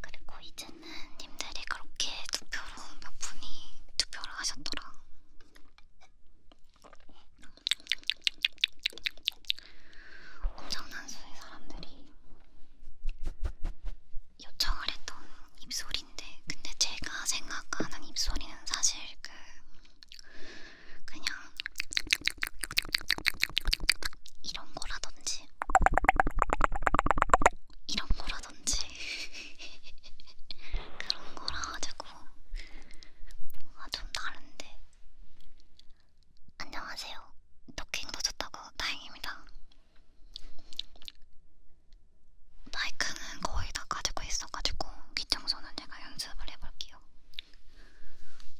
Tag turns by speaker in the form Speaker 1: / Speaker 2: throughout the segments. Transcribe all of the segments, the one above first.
Speaker 1: 그리고 이제는 님들이 그렇게 투표로 몇 분이 투표를 하셨더라. 엄청난 수의 사람들이 요청을 했던 입소리인데, 근데 제가 생각하는 입소리는 사실 그 그냥 이런 거라든지 이런 거라든지 그런 거라 가지고 뭔가 좀 다른데 안녕하세요. 토킹도 좋다고 다행입니다. 마이크는 거의 다 가지고 있어가지고 귀청소는 제가 연습을 해볼게요.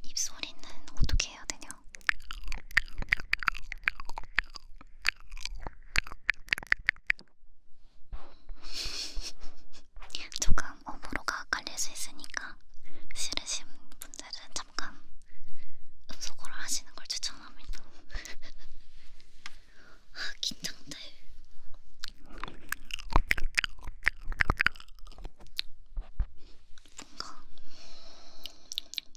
Speaker 1: 입소리는 어떻게 해야 되냐? 같아요. 조금 업으로가 깔릴 수 있으니까 싫으신 분들은 잠깐 음소거를 하시는 걸 추천합니다. 아 긴장돼. 뭔가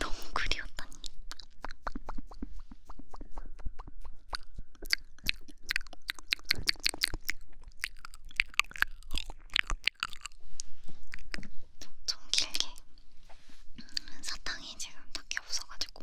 Speaker 1: 너무 그리웠다니. 좀 길게. 음, 사탕이 지금 딱히 없어가지고.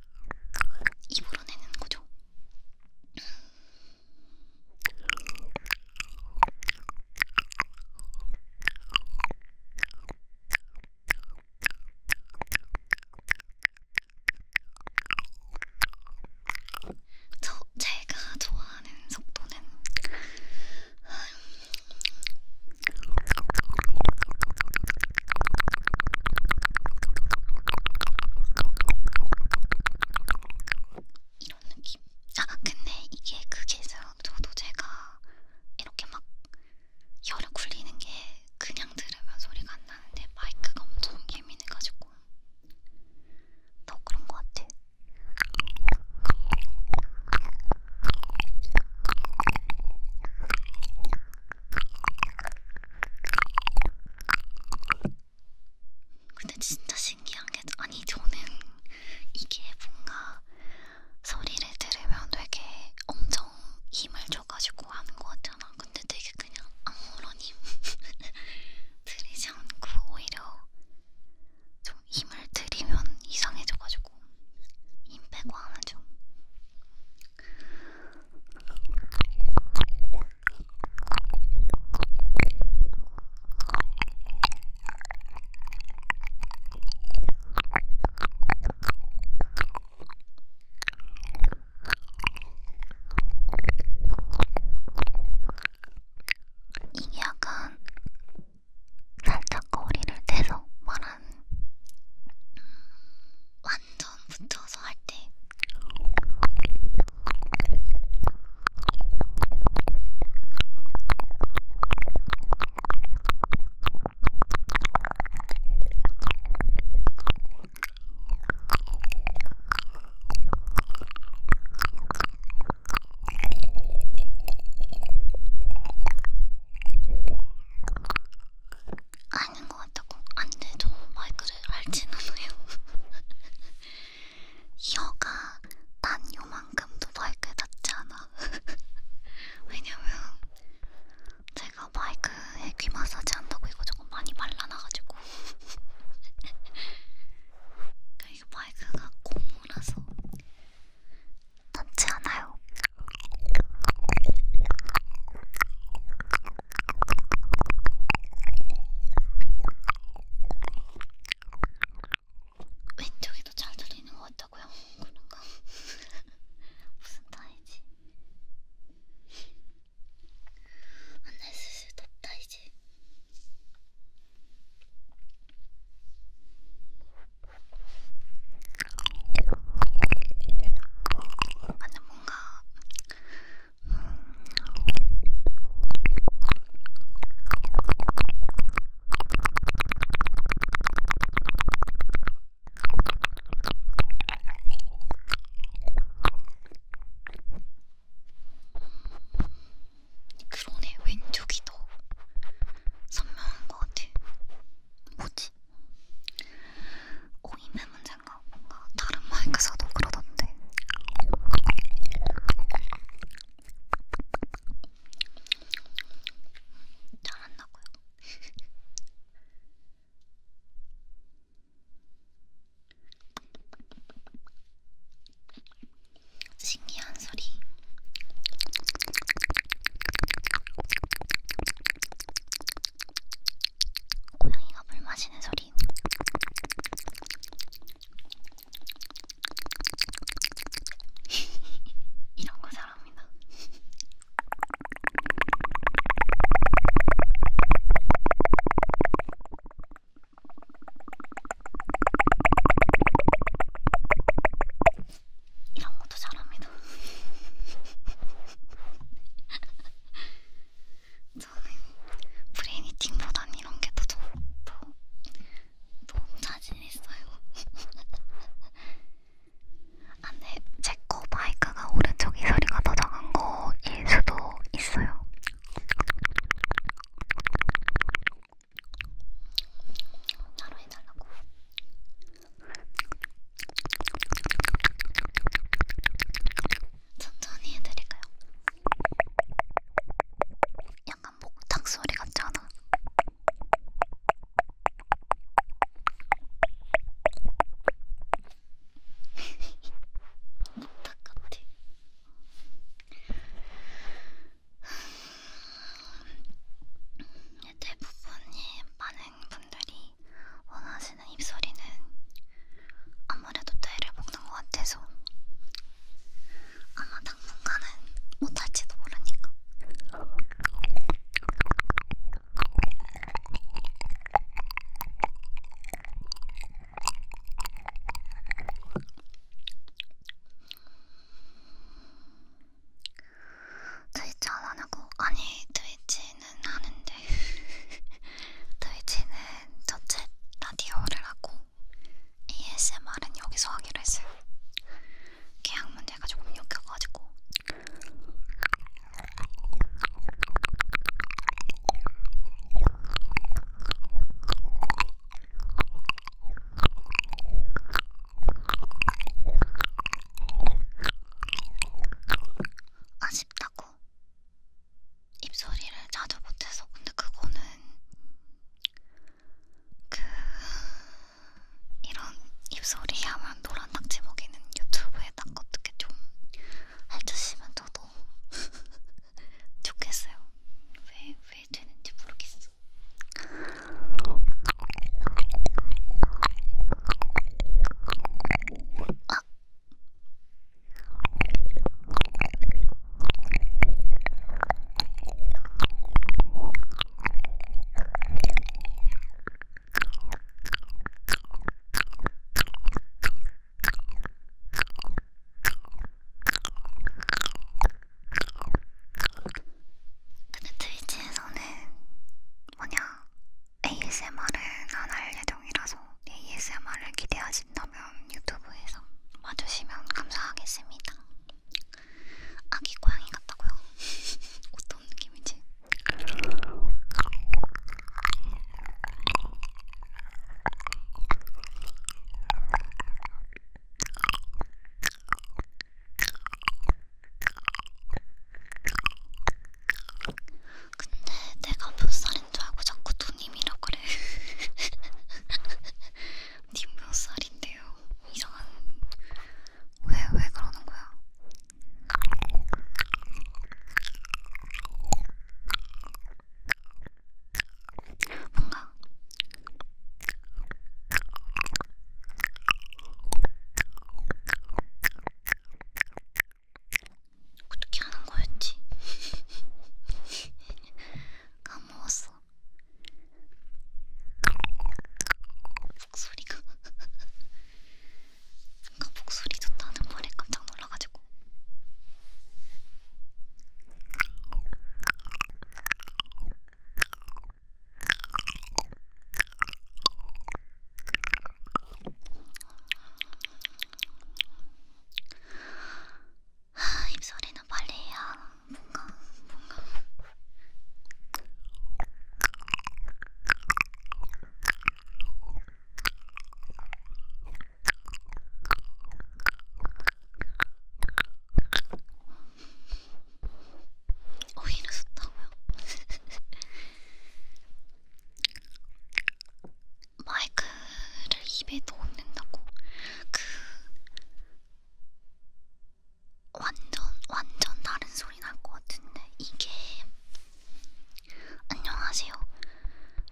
Speaker 1: 입으로 내는 거죠. 저 제가 좋아하는 속도는 이런 느낌. 아 근데 이게 그게 있어요. 저도 제가 이렇게 막 혀를 굴리는 게 그냥 들으면 소리가 안 나는데 마이크가 엄청 예민해가지고 더 그런 것 같아. 근데 진짜 신기한 게 아니 저는 이게 뭔가 소리를 들으면 되게 엄청 힘을 줘가지고 하는 것 같잖아. 근데 되게 그냥 아무런 힘 들이지 않고 오히려 좀 힘을 들이면 이상해져가지고 힘 빼고 하면 좀 이게 약간 살짝 거리를 대서 말하는 약간 완전 붙여서 할때 아닌 것 같다고 안돼 저 마이크를 알진 않아요 이어가 난 요만큼도 마이크에 닿지 않아 왜냐면 제가 마이크에 귀 마사지 한다고 이거 조금 많이 말라나가지고 이거 마이크가 고무라서 닿지 않아요 왼쪽이 더잘 들리는 것 같다고요? 그런가? 무슨 타이지? 안날 슬슬 덥다 이제 안날 뭔가 음, 그러네, 왼쪽이 더 선명한 것 같아. 뭐지? 오이면 어, 문제 생각 뭔가 다른 마이크사도 그러던데 잘 안 나고요. 신기한 소리. 고양이가 물 마시는 소리. 이런 거 사랑합니다. 이런 것도 잘합니다. 저는 프레미팅보단 이런 게더 더, 너무 자신 있어요. 안돼, 제거 마이크가 오른쪽이 소리가 더 작은 거일 수도 있어요. 따로 해달라고. 천천히 해드릴까요? 약간 목탁 소리 같지 않아? 목탁 같아. 네, 대부분이 많은 분들이 원하시는 입소리는 아무래도 뇌를 먹는 것 같아서 아마 당분간은 못할지도 모르니까. 트위치 안 하냐고? 아니 트위치 되지는 않은데 트위치는 전체 라디오를 하고 ASMR은 여기서 하기로 했어요. 계약 문제가 조금 엮여가지고 아쉽다. 아팠다고 입소리를 자주 못해서 근데 그거는 그 이런 입소리 하면 노란 낙지 먹이는 유튜브에 딱 어떻게 좀 해주시면 저도 좋겠어요. 왜왜 왜 되는지 모르겠어. 아 근데 트위치에서는 뭐냐 ASMR은 안 할 예정이라서 ASMR을 기대하신다면 유튜브에서 봐주시면 감사하겠습니다. 아기 고양이 같다고요? 어떤 느낌인지? 근데 내가 몇 살인 줄 알고 자꾸 누님이라고 그래. 님몇 살인데요? 이상한. 왜, 왜 그러는 거야? 뭔가. 어떻게 하는 거였지? 까먹었어. 목소리가 아까 목소리 좋다는 말에 깜짝 놀라가지고. 아, 입소리는 빨리 해야 뭔가 뭔가 오히려 어, 좋다고요? 마이크를 입에 넣는다고 그 완전 완전 다른 소리 날 것 같은데 이게 안녕하세요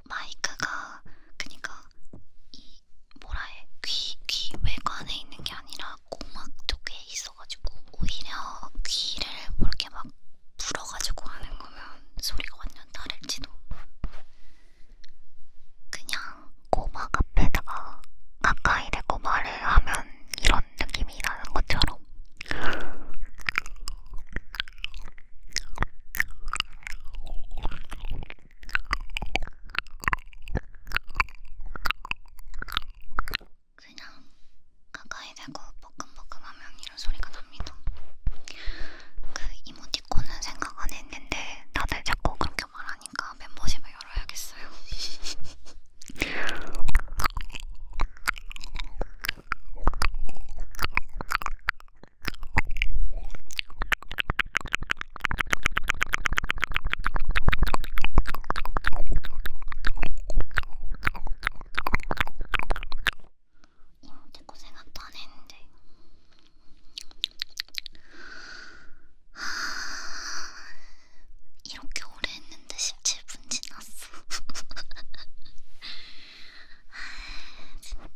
Speaker 1: 마이크가 그니까 이 뭐라 해귀귀 귀 외관에 있는 게 아니라 고막 쪽에 있어가지고 오히려 귀를 뭐 이렇게 막 불어가지고 하는 거면 소리가 완전 다를지도. 그냥 꼬막 앞에다가 가까이 대고 말을 하면 이런 느낌이 나는 것처럼. 그냥 가까이 대고 볶음볶음하면 이런 소리가 납니다. 그 이모티콘은 생각 안 했는데 다들 자꾸 그렇게 말하니까 멤버십을 열어야겠어요. 이모티콘 생각도 안 했는데 이렇게 오래 했는데 17분 지났어 진짜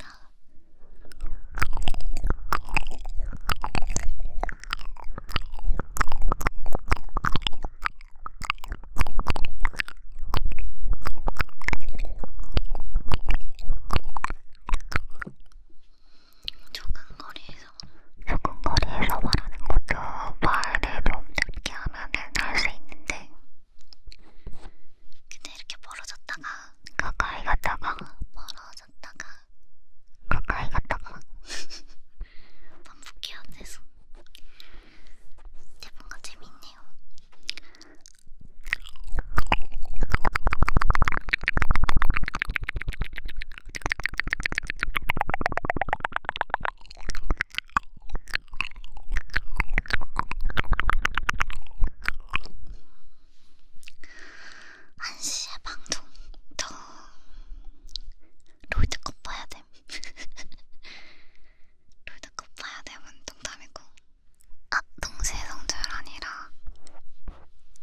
Speaker 1: 조금 거리에서 조금 거리에서 말하는 것도 말을 좀 작게 하면은 할 수 있는데 근데 이렇게 멀어졌다가 가까이 갔다가 멀어졌다가 가까이 갔다가 반복해야 돼서 근데 뭔가 재밌네요. 한시에 방송 더 로드컵 봐야 됨. 롤드컵 봐야 되면 동담이고 아! 동시성절 아니라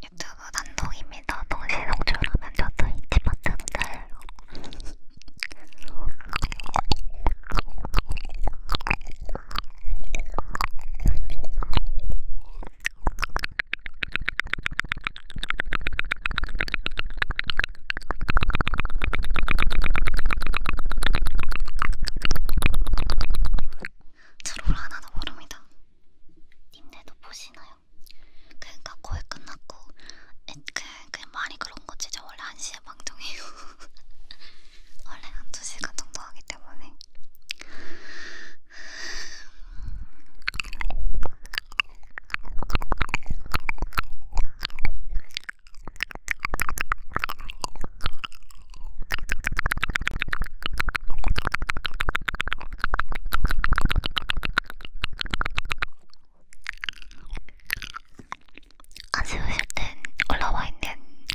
Speaker 1: 유튜브 단독입니다. 동시성절하면 저도 인기 버튼을 달려요. 트롤 하나도 모릅니다. 님네도 보시나요? 그러니까 거의 끝났고 그냥, 그냥 그 말이 그런 거지. 저 원래 1시에 방송해요. 원래 한 2시간 정도 하기 때문에. 아쉬우실 땐 올라와 있는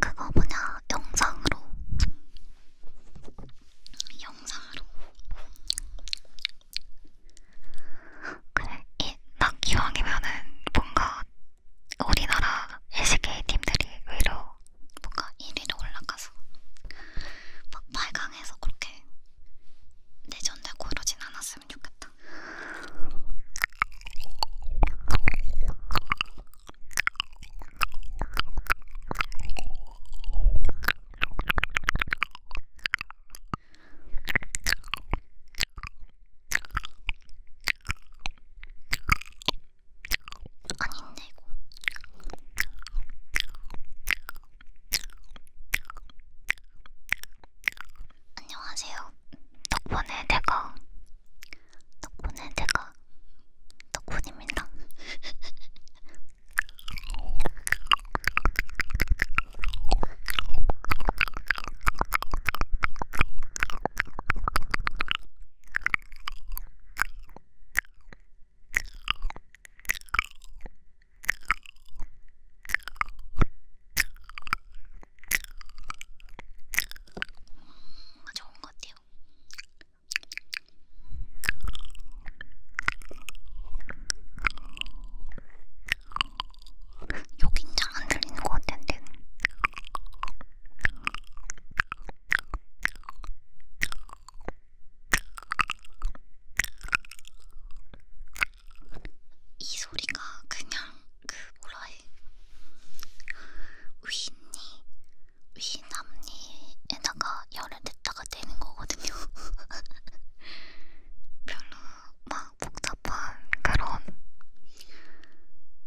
Speaker 1: 그거 뭐냐 영상으로 영상으로 그래, 이낙 기왕이면은 뭔가 우리나라 LCK 팀들이 의외로 뭔가 1위로 올라가서 막 8강에서 그렇게 내전되고 이러진 않았으면 좋겠다. 아닌데 이거 안녕하세요 덕분에 내가 덕분에 내가 덕분입니다 좋은 것 같아요. 여긴 잘안 들리는 것 같은데. 이 소리가 그냥 그 뭐라 해 위니 위남니에다가 열을 냈다가 되는 거거든요. 별로 막 복잡한 그런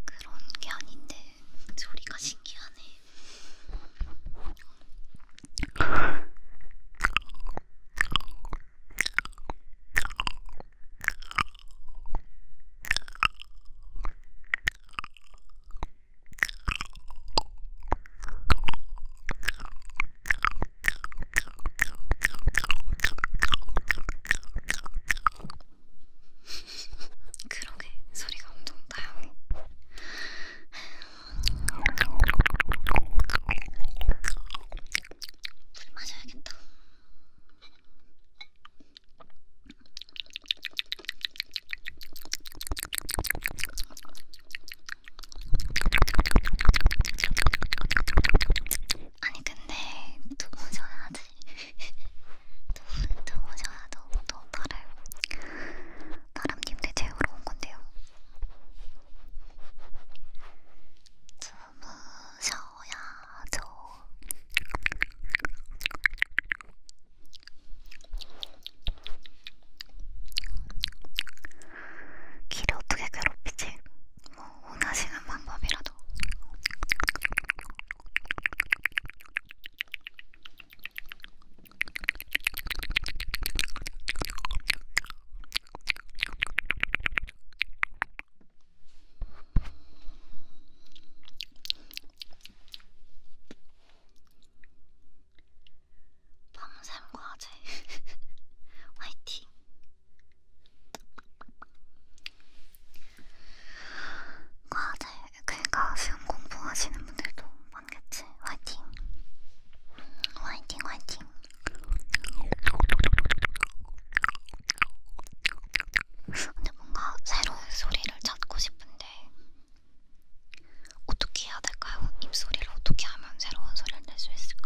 Speaker 1: 그런 게 아닌데 소리가 신기하네. 그러게 소리가 엄청 다양해. 물 마셔야겠다. 아니 근데 너무 져야지 너무 져야 너무 너무 나를 나람님들 재우러 온 건데요 주무셔야죠 길을 어떻게 괴롭히지? 뭐 원하시는 방법이라도 밤샘 과제 화이팅! 과제, 그러니까 수험 공부하시는 분들도 많겠지. 화이팅! 화이팅, 화이팅! 근데 뭔가 새로운 소리를 찾고 싶은데 어떻게 해야 될까요? 입소리를 어떻게 하면 새로운 소리를 낼 수 있을까?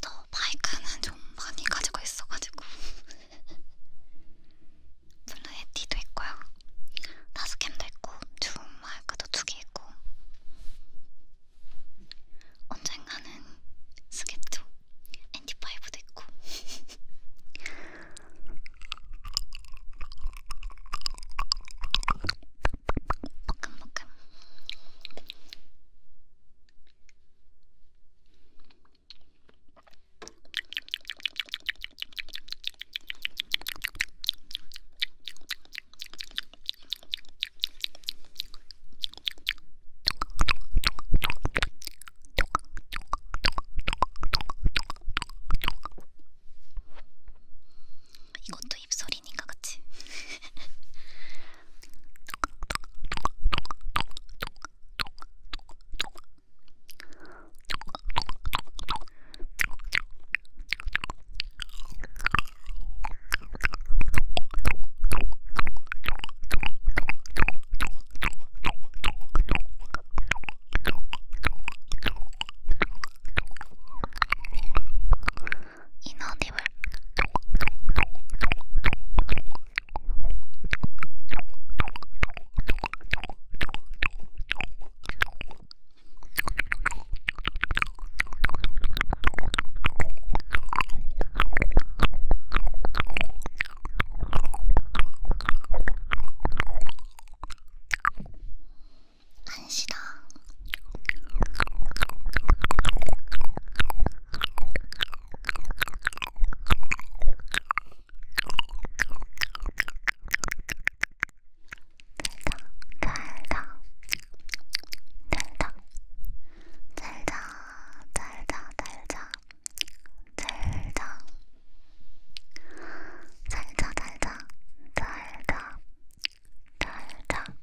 Speaker 1: 저 마이크는 좀 많이 가지고 있어가지고 블루 에티도 있고요 다스캠도 있고 줌 마이크도 두 개 있고 언젠가는 스케트 엔티파이브도 있고 볶음볶음 이것도 입소리니까 그치? イノーディブ안 싫어. 달다 달다 달다 달다 달다 달다 달다 달다 달다 달다 달다 달다 달다